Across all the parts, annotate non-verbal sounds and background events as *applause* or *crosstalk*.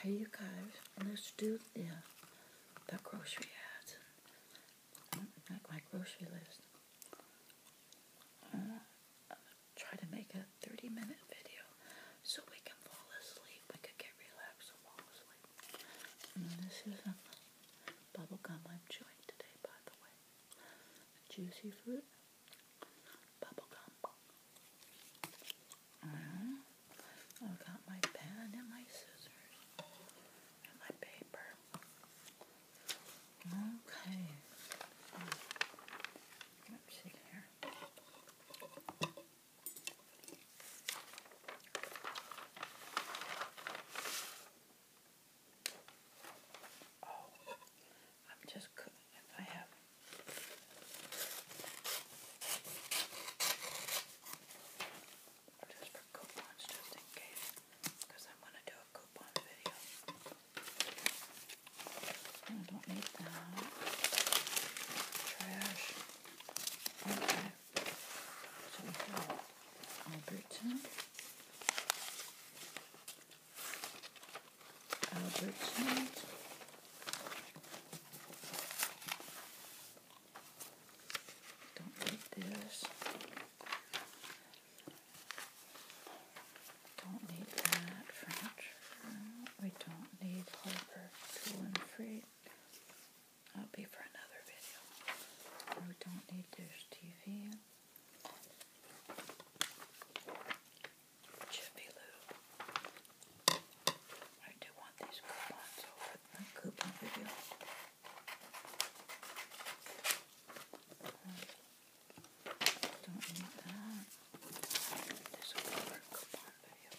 Hey you guys, let's do the grocery ads. Like my grocery list. Uh, try to make a 30 minute video so we can fall asleep. We could get relaxed and fall asleep. this is a gum I'm chewing today, by the way. A juicy fruit bubblegum. Mm uh-huh. i got my pen and my scissors and my paper. Okay. Let's see here. Oh, I'm just I have just coupons, just in case, because I'm gonna do a coupon video. I don't need that trash. Okay, so we have Alberta. Albertsons. Don't need this. Don't need that We don't need Harbor Tool and Free. That'll be for another video. We don't need this TV. Jiffy Lube. I do want these coupons over the coupon video. Don't need that. This will be coupon video.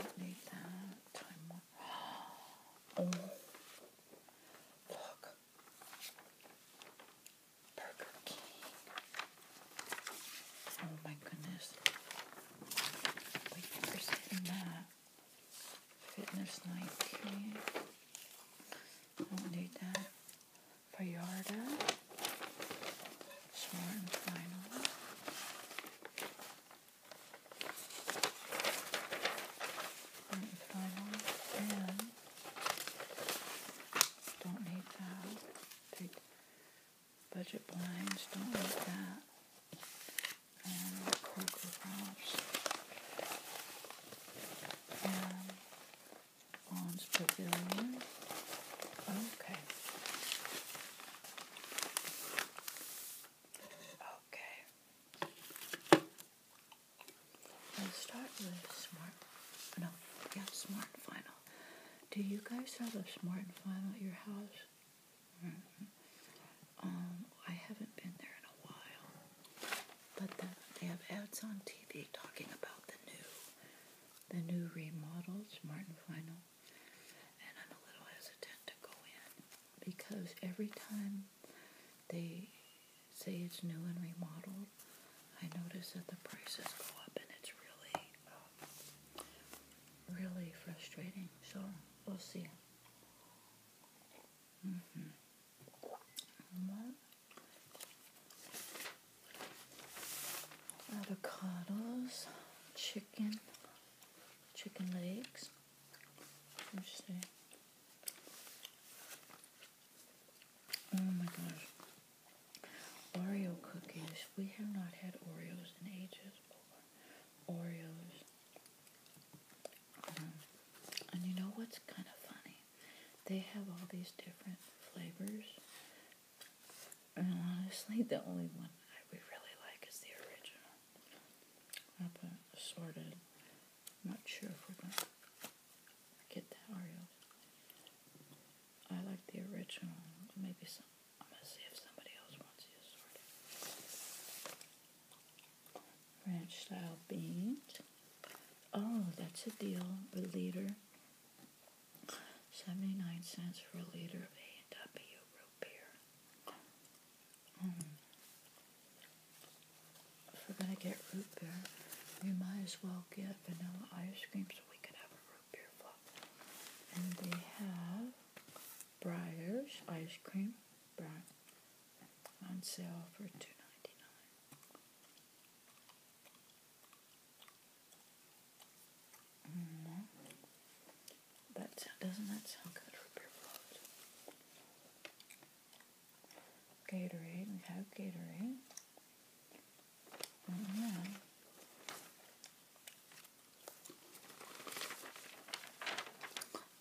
Don't need that. Time more. *gasps* Oh, look. Burger King. Oh my goodness. Wait, there's in that. Fitness Nike. Don't need that. Bayarda. Smart final. Smart final. Don't need that. budget blinds. Don't need that. And Crocker Ralphs. And Vaughn's Pavilion. Okay. Okay. Let's start with smart. No, yeah, smart final. Do you guys have a smart final at your house? Mm-hmm. Um, I haven't been there in a while, but they have ads on TV talking about the new, the new remodeled smart final, and I'm a little hesitant to go in because every time they say it's new and remodeled, I notice that the prices go up and it's really, um, really frustrating. So we'll see. Mm-hmm. Avocados, chicken, chicken legs. Interesting. Oh my gosh. Oreo cookies. We have not had Oreos in ages. Oreos. Um, and you know what's kind of funny? They have all these different flavors. And honestly, the only one I, we really like is the original. I put assorted. I'm not sure if we're going to Forget that Oreo. I like the original. Maybe some. I'm gonna see if somebody else wants to sort it. Ranch style beans. Oh, that's a deal. A liter. 79 cents for a liter of A&W root beer. Mm if we're going to get root beer, we might as well get vanilla ice cream so we can have a root beer float. And they have Briar's ice cream on sale for $2.99. That mm-hmm. doesn't that sound good for beer float? Gatorade. We have Gatorade. Mm-hmm.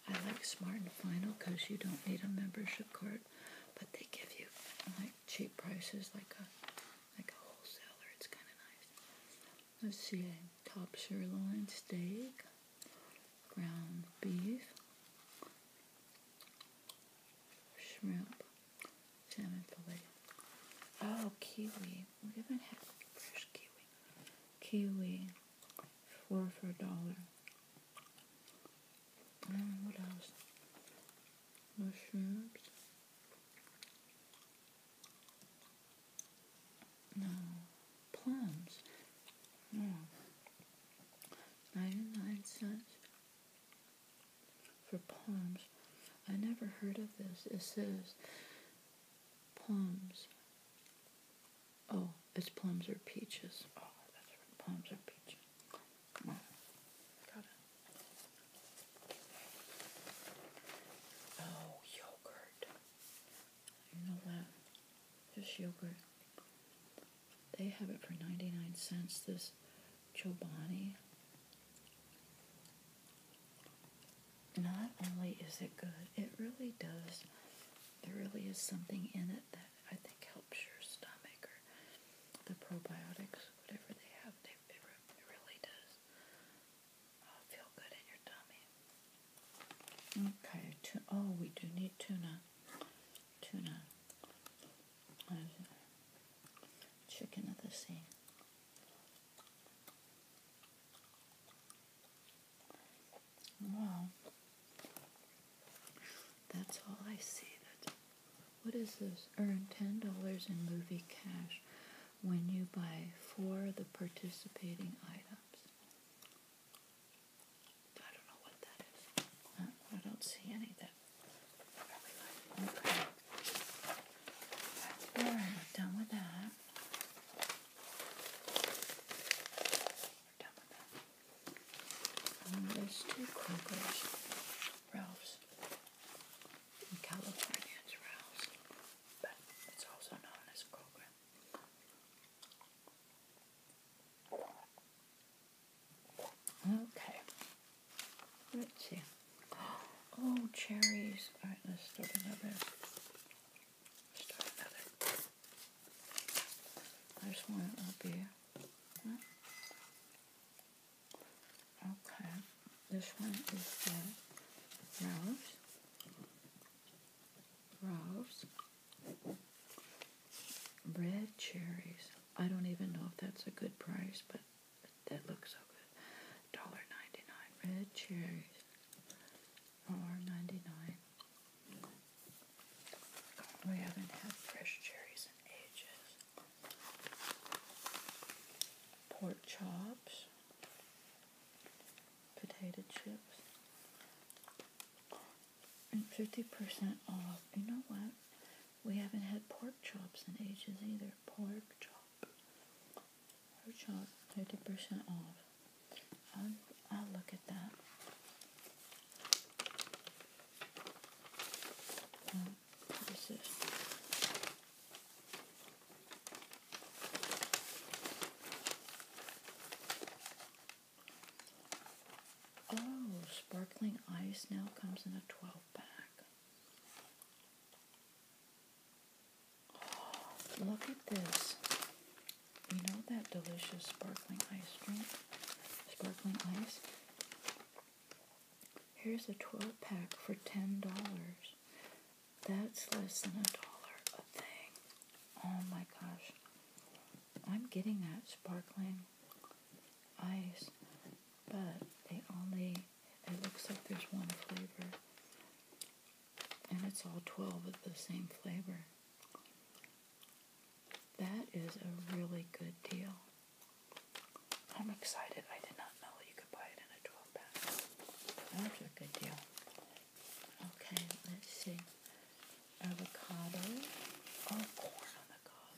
I like Smart and Final because you don't need a membership card, but they give you like cheap prices, like a like a wholesaler. It's kind of nice. Let's see, top sirloin steak, ground beef, shrimp, salmon fillet. Oh, kiwi. We haven't fresh kiwi. Kiwi, four for a dollar. Mm, what else? Mushrooms. No. Plums. No. Mm. 99 cents for plums, I never heard of this. It says plums. Oh, it's plums or peaches. Oh, that's right. Plums or peaches. Oh, yogurt. You know that? Just yogurt. They have it for 99 cents, this Chobani. Not only is it good, it really does, there really is something in it that I think helps your stomach or the probiotics, whatever they have, they, really does uh, feel good in your tummy. Okay, oh, we do need tuna. Tuna. Chicken of the sea. Wow. That's all I see. That what is this? Earn ten dollars in movie cash when you buy four of the participating items. I don't know what that is. I don't see anything. Okay. done with that. we um, two Kroger's, Ralph's, in California. It's but it's also known as Kroger. Okay. Let's see. Oh, cherries. All right, let's start another. Start another. There's one up here. Okay. This one is the rose. Rose. Red cherries. I don't even know if that's a good price, but that looks so good. Dollar ninety nine. Red cherries. Dollar We haven't had fresh cherries in ages. Pork chops. Potato chips. 50% off. You know what? We haven't had pork chops in ages either. Pork chop. Pork chop, 50% off. I'll, um, I'll look at that. Um, what is this? Oh, sparkling ice now comes in a 12 pack. Oh, look at this. You know that delicious sparkling ice drink? Sparkling ice? Here's a 12 pack for $10. That's less than a dollar a thing. Oh my gosh. I'm getting that sparkling ice, but they only, it looks like there's one flavor. And it's all 12 of the same flavor. That is a really good deal. I'm excited. I did not know that you could buy it in a 12 pack. That's a good deal. Okay, let's see avocado, or corn on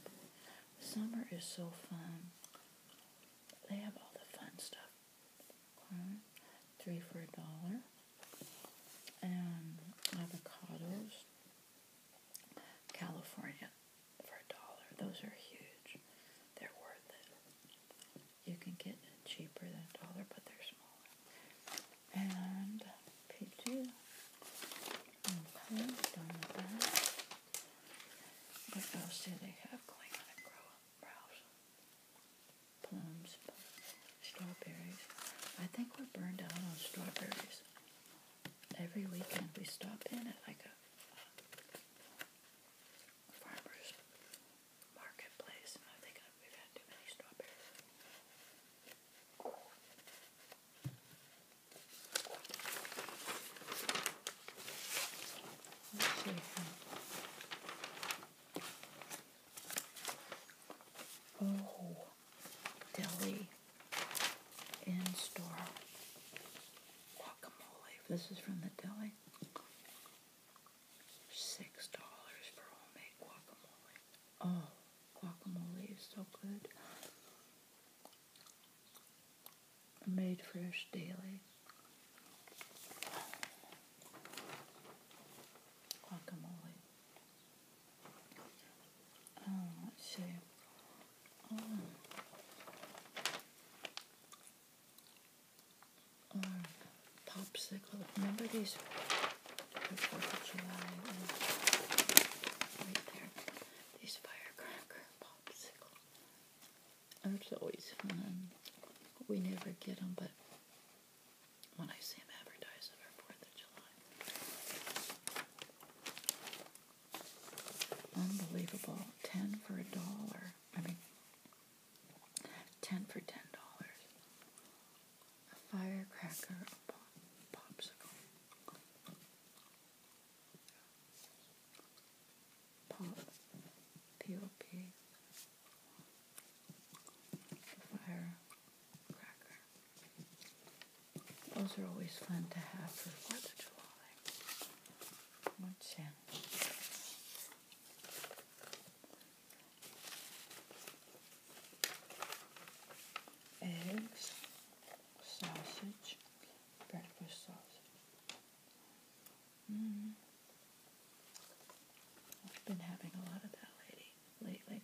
Summer is so fun. They have all the fun stuff. three for a dollar. And avocados, California for a dollar. Those are huge. They're worth it. You can get cheaper than a dollar, but they're smaller and picture. Okay, done with that. What else do they have going on at Grow Browse? Plums, strawberries. I think we're burned out on strawberries. Every weekend we stop in at like a farmer's marketplace, and I think we've had too many strawberries. Oh, deli in store guacamole. This is from the deli. Six dollars for homemade guacamole. Oh, guacamole is so good. Made fresh daily. Guacamole. Oh, let's Oh, popsicle. Remember these 4th of July right there, these firecracker popsicles. It's always fun. We never get them, but when I see them advertised for 4th of July. Unbelievable. 10 for a dollar. I mean, 10 for $10 a firecracker, popsicle. Pop, P-O-P, firecracker. Those are always fun to have for 4th of July. What's in? eggs, sausage, breakfast sausage. Mm-hmm. I've been having a lot of that lately.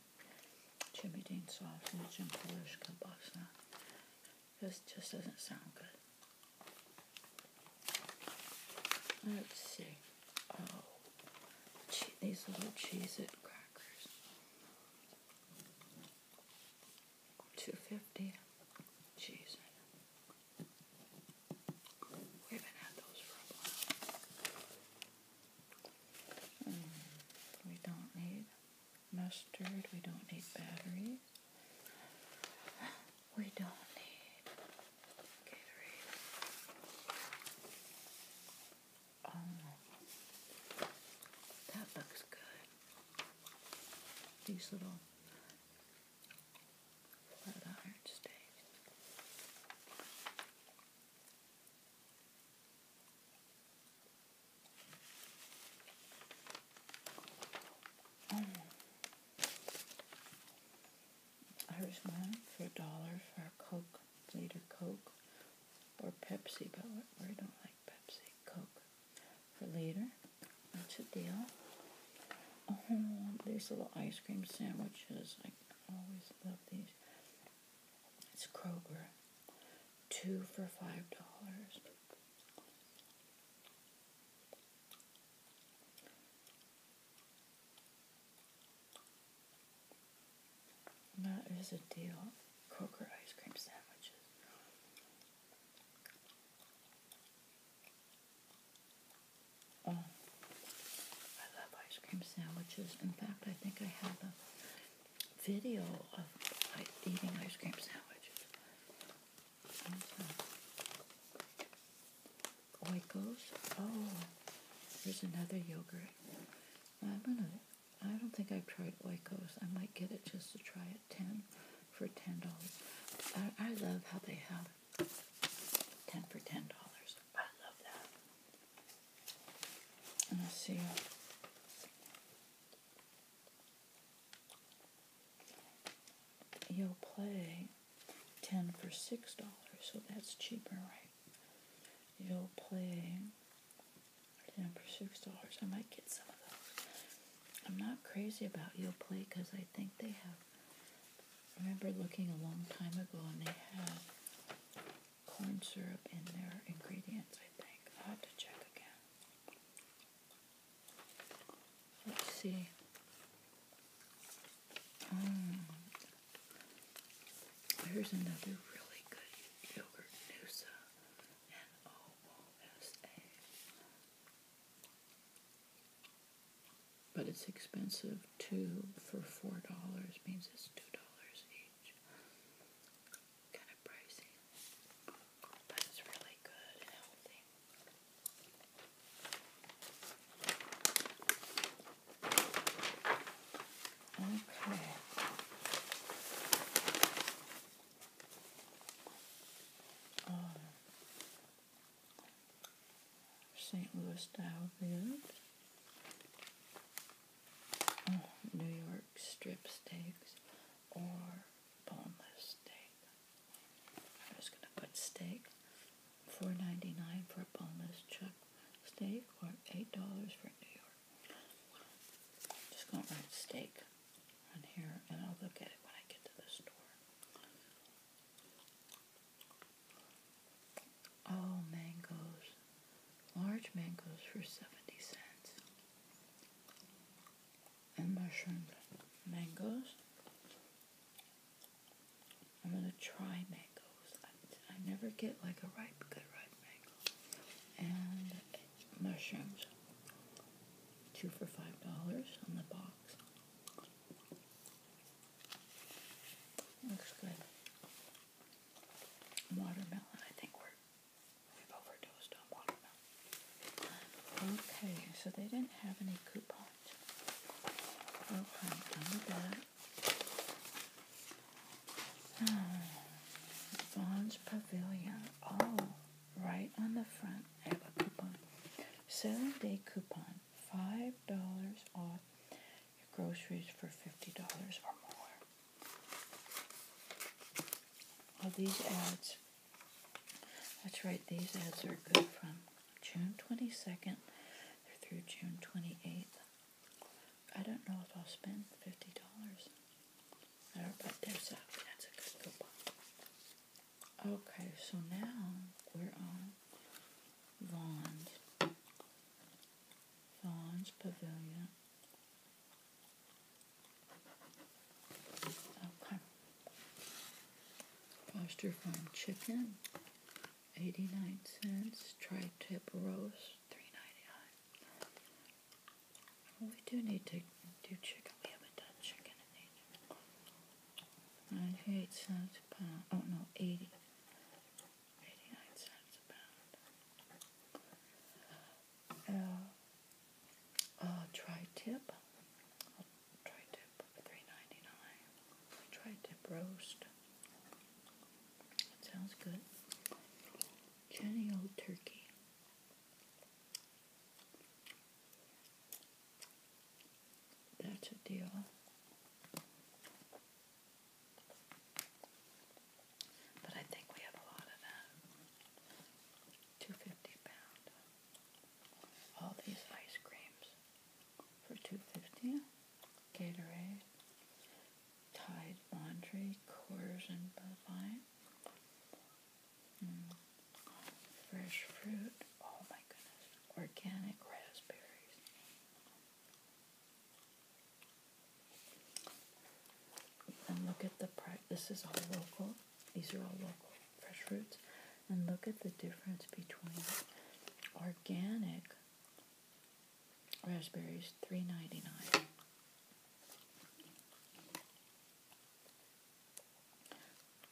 Jimmy Dean sausage and Polish kielbasa. This just doesn't sound good. Let's see. Oh, these little cheese crackers. Two fifty. Jeez. Hmm, we don't need mustard. We don't need batteries. We don't need Gatorade. Oh, that looks good. These little flat iron stays. Oh. for a dollar for a Coke later Coke or Pepsi, but I don't like Pepsi. Coke for later. That's a deal. Oh, these little ice cream sandwiches. I always love these. It's Kroger. Two for five dollars. That is a deal. Coker ice cream sandwiches. Oh, I love ice cream sandwiches. In fact, I think I have a video of eating ice cream sandwiches. Oikos. Oh, there's another yogurt. I'm gonna. I don't think I've tried Oikos. I might get it just to try it. Ten for ten dollars. I, I love how they have ten for ten dollars. I love that. And let see. You'll play ten for six dollars, so that's cheaper, right? You'll play number six dollars. I might get some of those. I'm not crazy about you'll play because I think they have. I remember looking a long time ago and they had corn syrup in their ingredients. I think I'll have to check again. Let's see. Mm, there's another really good yogurt, N-O-O-S-A. But it's expensive. Two for four dollars means it's two dollars each. Kind of pricey. But it's really good and healthy. Okay. Um, St. Louis style ribs. Uh, New York strip steaks or boneless steak. I'm just gonna put steak. Four ninety nine for a boneless chuck steak or eight dollars for New York. just gonna write steak on here and I'll look at it when I get to the store. Oh mangoes. Large mangoes for seventy cents. And mushroom, Mangoes. I'm gonna try mangoes. I, I never get like a ripe, good ripe mango. And mushrooms, two for five dollars on the box. Looks good. Watermelon. I think we're we've overdosed on watermelon. Okay, so they didn't have any coupons. Okay, oh, done with that. Vaughn's hmm. Pavilion. Oh, right on the front, I have a coupon. Seven day coupon. $5 off your groceries for $50 or more. All these ads. That's right, these ads are good from June 22nd through June 28th. I don't know if I'll spend fifty dollars. There, but there's a that's a good coupon. Okay, so now we're on Vaughn's. Vaughn's Pavilion. Okay. Foster Farm Chicken. 89 cents. Tri tip roast, three ninety nine. We do need to do chicken. We haven't done chicken in ages. 98 cents a Oh no, 80. 89 cents a pound. Uh, uh, tri tip. Tri tip, three ninety nine. Tri tip roast. That sounds good. Jenny Old Turkey. That's a deal. But I think we have a lot of that. 250 pound. All these ice creams for two fifty. Gatorade, Tide Laundry, Coors and Bud mm. fresh fruit. Oh my goodness, organic raspberries. And look at the price. This is all local. These are all local fresh fruits. And look at the difference between organic raspberries, three ninety nine.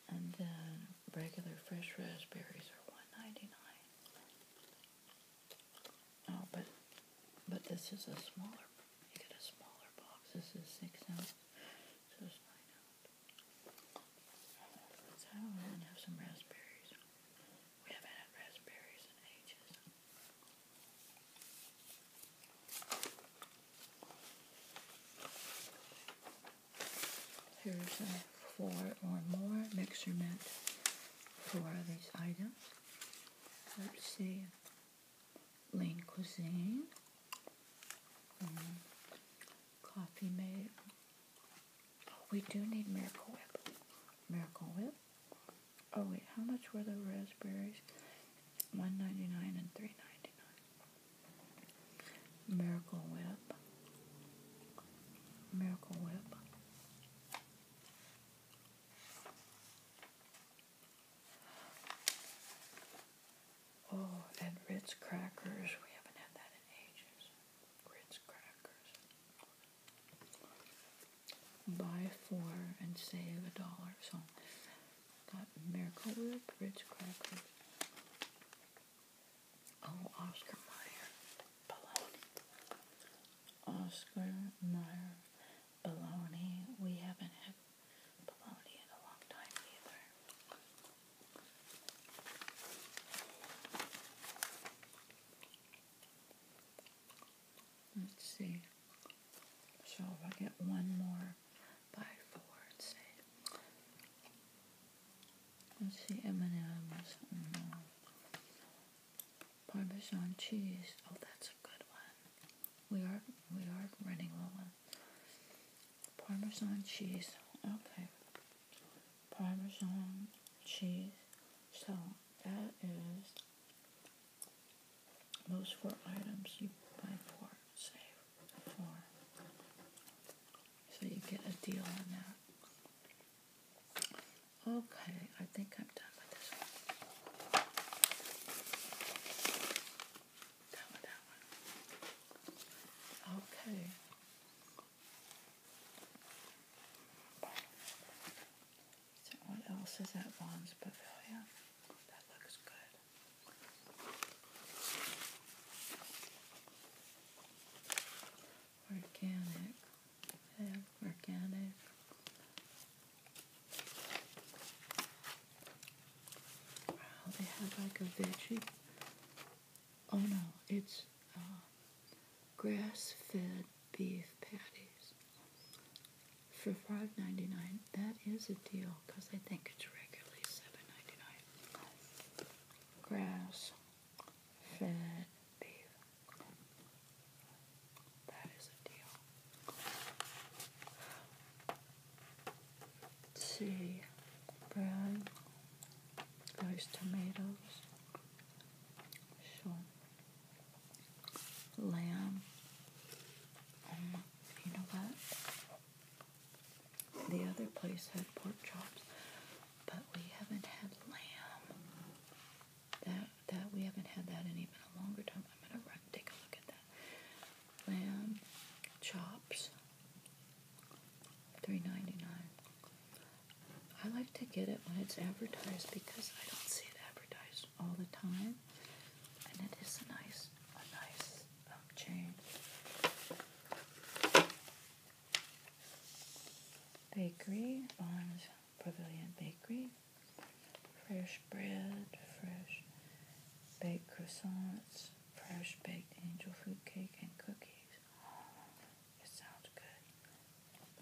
And then regular fresh raspberries are one ninety nine. Oh, but but this is a smaller. You get a smaller box. This is six ounce, so nine So I'm gonna have some raspberries. Here's a four or more measurement for these items. Let's see. Lean cuisine. Mm. Coffee made Oh, we do need Miracle Whip. Miracle Whip. Oh wait, how much were the raspberries? One ninety nine and three ninety nine. Miracle Whip. Miracle Whip. Oh, and Ritz crackers. We haven't had that in ages. Ritz crackers buy four and save a dollar. So got Miracle Whip, Ritz Crackers. Oh, Oscar Mayer bologna. Oscar Mayer bologna. We haven't had bologna in a long time either. Let's see. So if I get one more by four, let's see. Let's see, M&M's. Mm-hmm. Parmesan cheese. Oh, that's a good one. We are we are running low on Parmesan cheese. Okay. Parmesan cheese. So that is those four items you buy four, save four. So you get a deal on that. Okay, I think I'm done with this one. Done with that one. Okay. So what else is at Vaughn's Pavilion? That looks good. Organic. Yeah, organic. Wow, they have like a veggie Oh no, it's uh, grass fed beef patties for $5.99. That is a deal because I think it's regularly $7.99. Grass fed beef. That is a deal. see, bread. Those tomatoes, sure, lamb. Um, you know what? The other place had pork chops, but we haven't had lamb. That that we haven't had that in even a longer time. I'm gonna take a look at that. Lamb chops, Three ninety nine. I like to get it when it's advertised because I don't see it advertised all the time, and it is a nice, a nice um, Bakery, Bonds Pavilion Bakery. Fresh bread, fresh baked croissants, fresh baked angel food cake and cookies. It sounds good.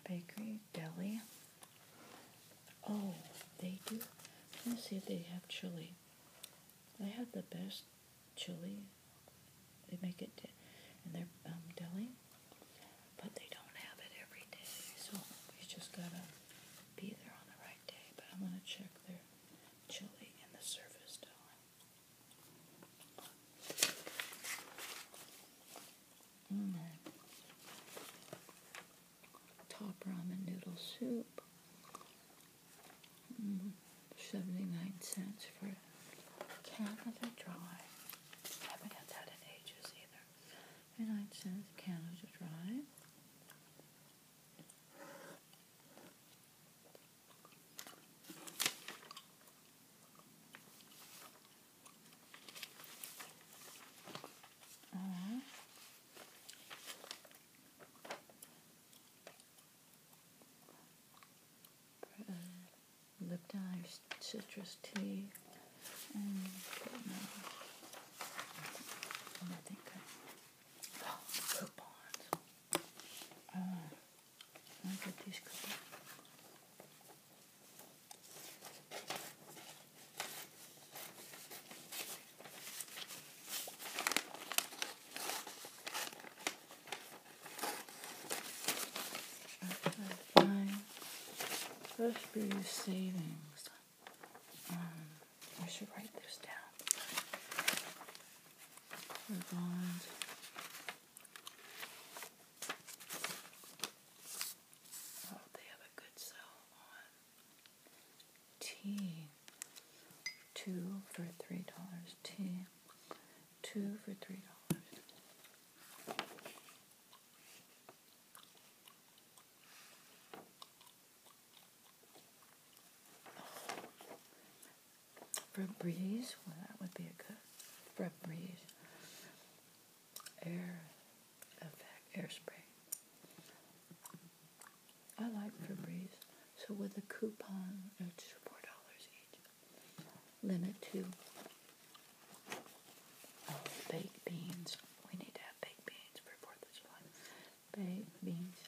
Bakery, deli. Oh, they do. let me see if they have chili. They have the best chili. They make it in their um, deli, but they don't have it every day. So we just gotta be there on the right day. But I'm gonna check their chili in the surface deli. Mm, top ramen noodle soup. Mm, 79 cents for a Dry. I haven't had that in ages either. 79 cents Canada Dry. Mm. Uh, Lipton Citrus Tea and I think *gasps* coupons. Uh, Nasıl First Bureau Savings. Um, I should write this down. Bonds. Oh, they have a good sell on tea. Two for three dollars. Tea. Two for three dollars. Febreze, well, that would be a good Febreze air effect air spray. I like Febreze. So with a coupon, it's four dollars each. Limit to oh, baked beans. We need to have baked beans for Fourth of July. Baked beans.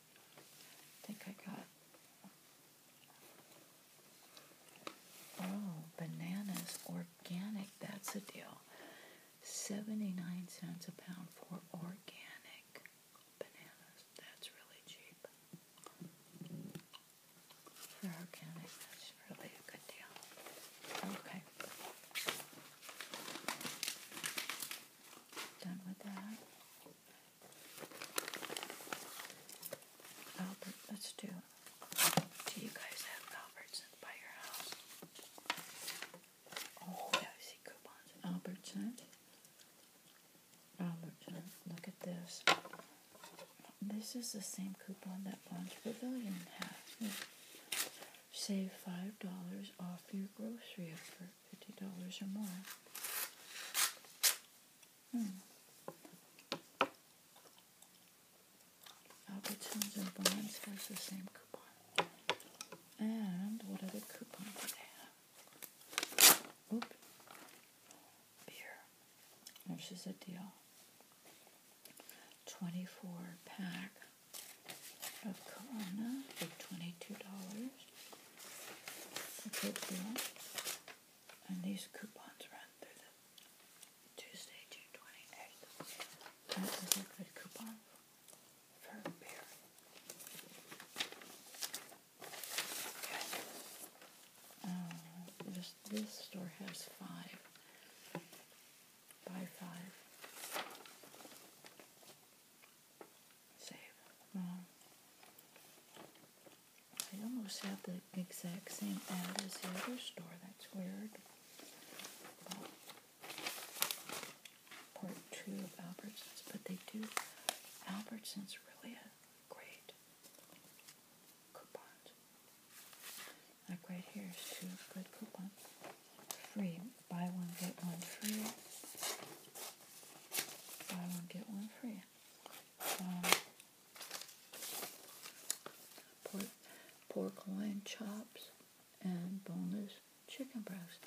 I think I got. Oh, bananas organic. That's a deal. 79 cents a pound for organic bananas. That's really cheap. For organic, that's really a good deal. Okay. Done with that. Albert, let's do. Do you guys have Albertson by your house? Oh, yeah, I see coupons. Albertson. Albertson. Look at this. This is the same coupon that Bonds Pavilion has. Save $5 off your grocery at $50 or more. Hmm. Albertsons and Barnes has the same coupon. And what other coupon do they have? Oop. Beer. This is a deal. 24 pack of Kona for $22. A And these coupons run through the Tuesday, June 28th. That a good coupon for beer. Okay. Uh, this, this store has five. Buy five save. I almost have the exact same ad as the other store. That's weird. part two of Albertsons, but they do. Albertsons really a great coupons. Like right here is two good coupons. Free buy one, get one free. Buy one, get one free. Um, pork, pork loin chops and boneless chicken breasts.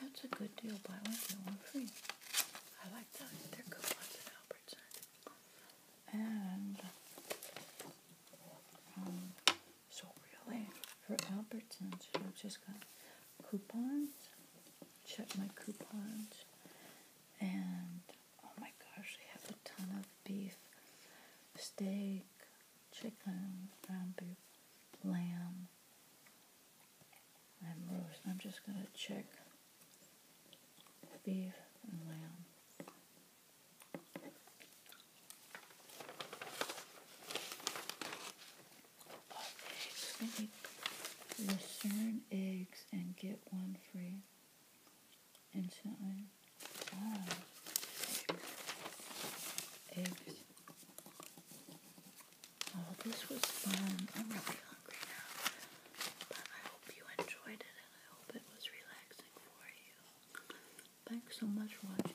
That's a good deal. Buy one, get one free. I like those. They're good ones at Albertson. And um, so really, for Albertsons, I've just got coupons. Check my coupons, and oh my gosh, they have a ton of beef, steak, chicken, ground beef, lamb, and roast. I'm just gonna check beef and lamb. Perfect. Discern eggs and get one free instantly. Ah, eggs. Oh, this was fun. I'm really hungry now. But I hope you enjoyed it and I hope it was relaxing for you. Thanks so much for watching.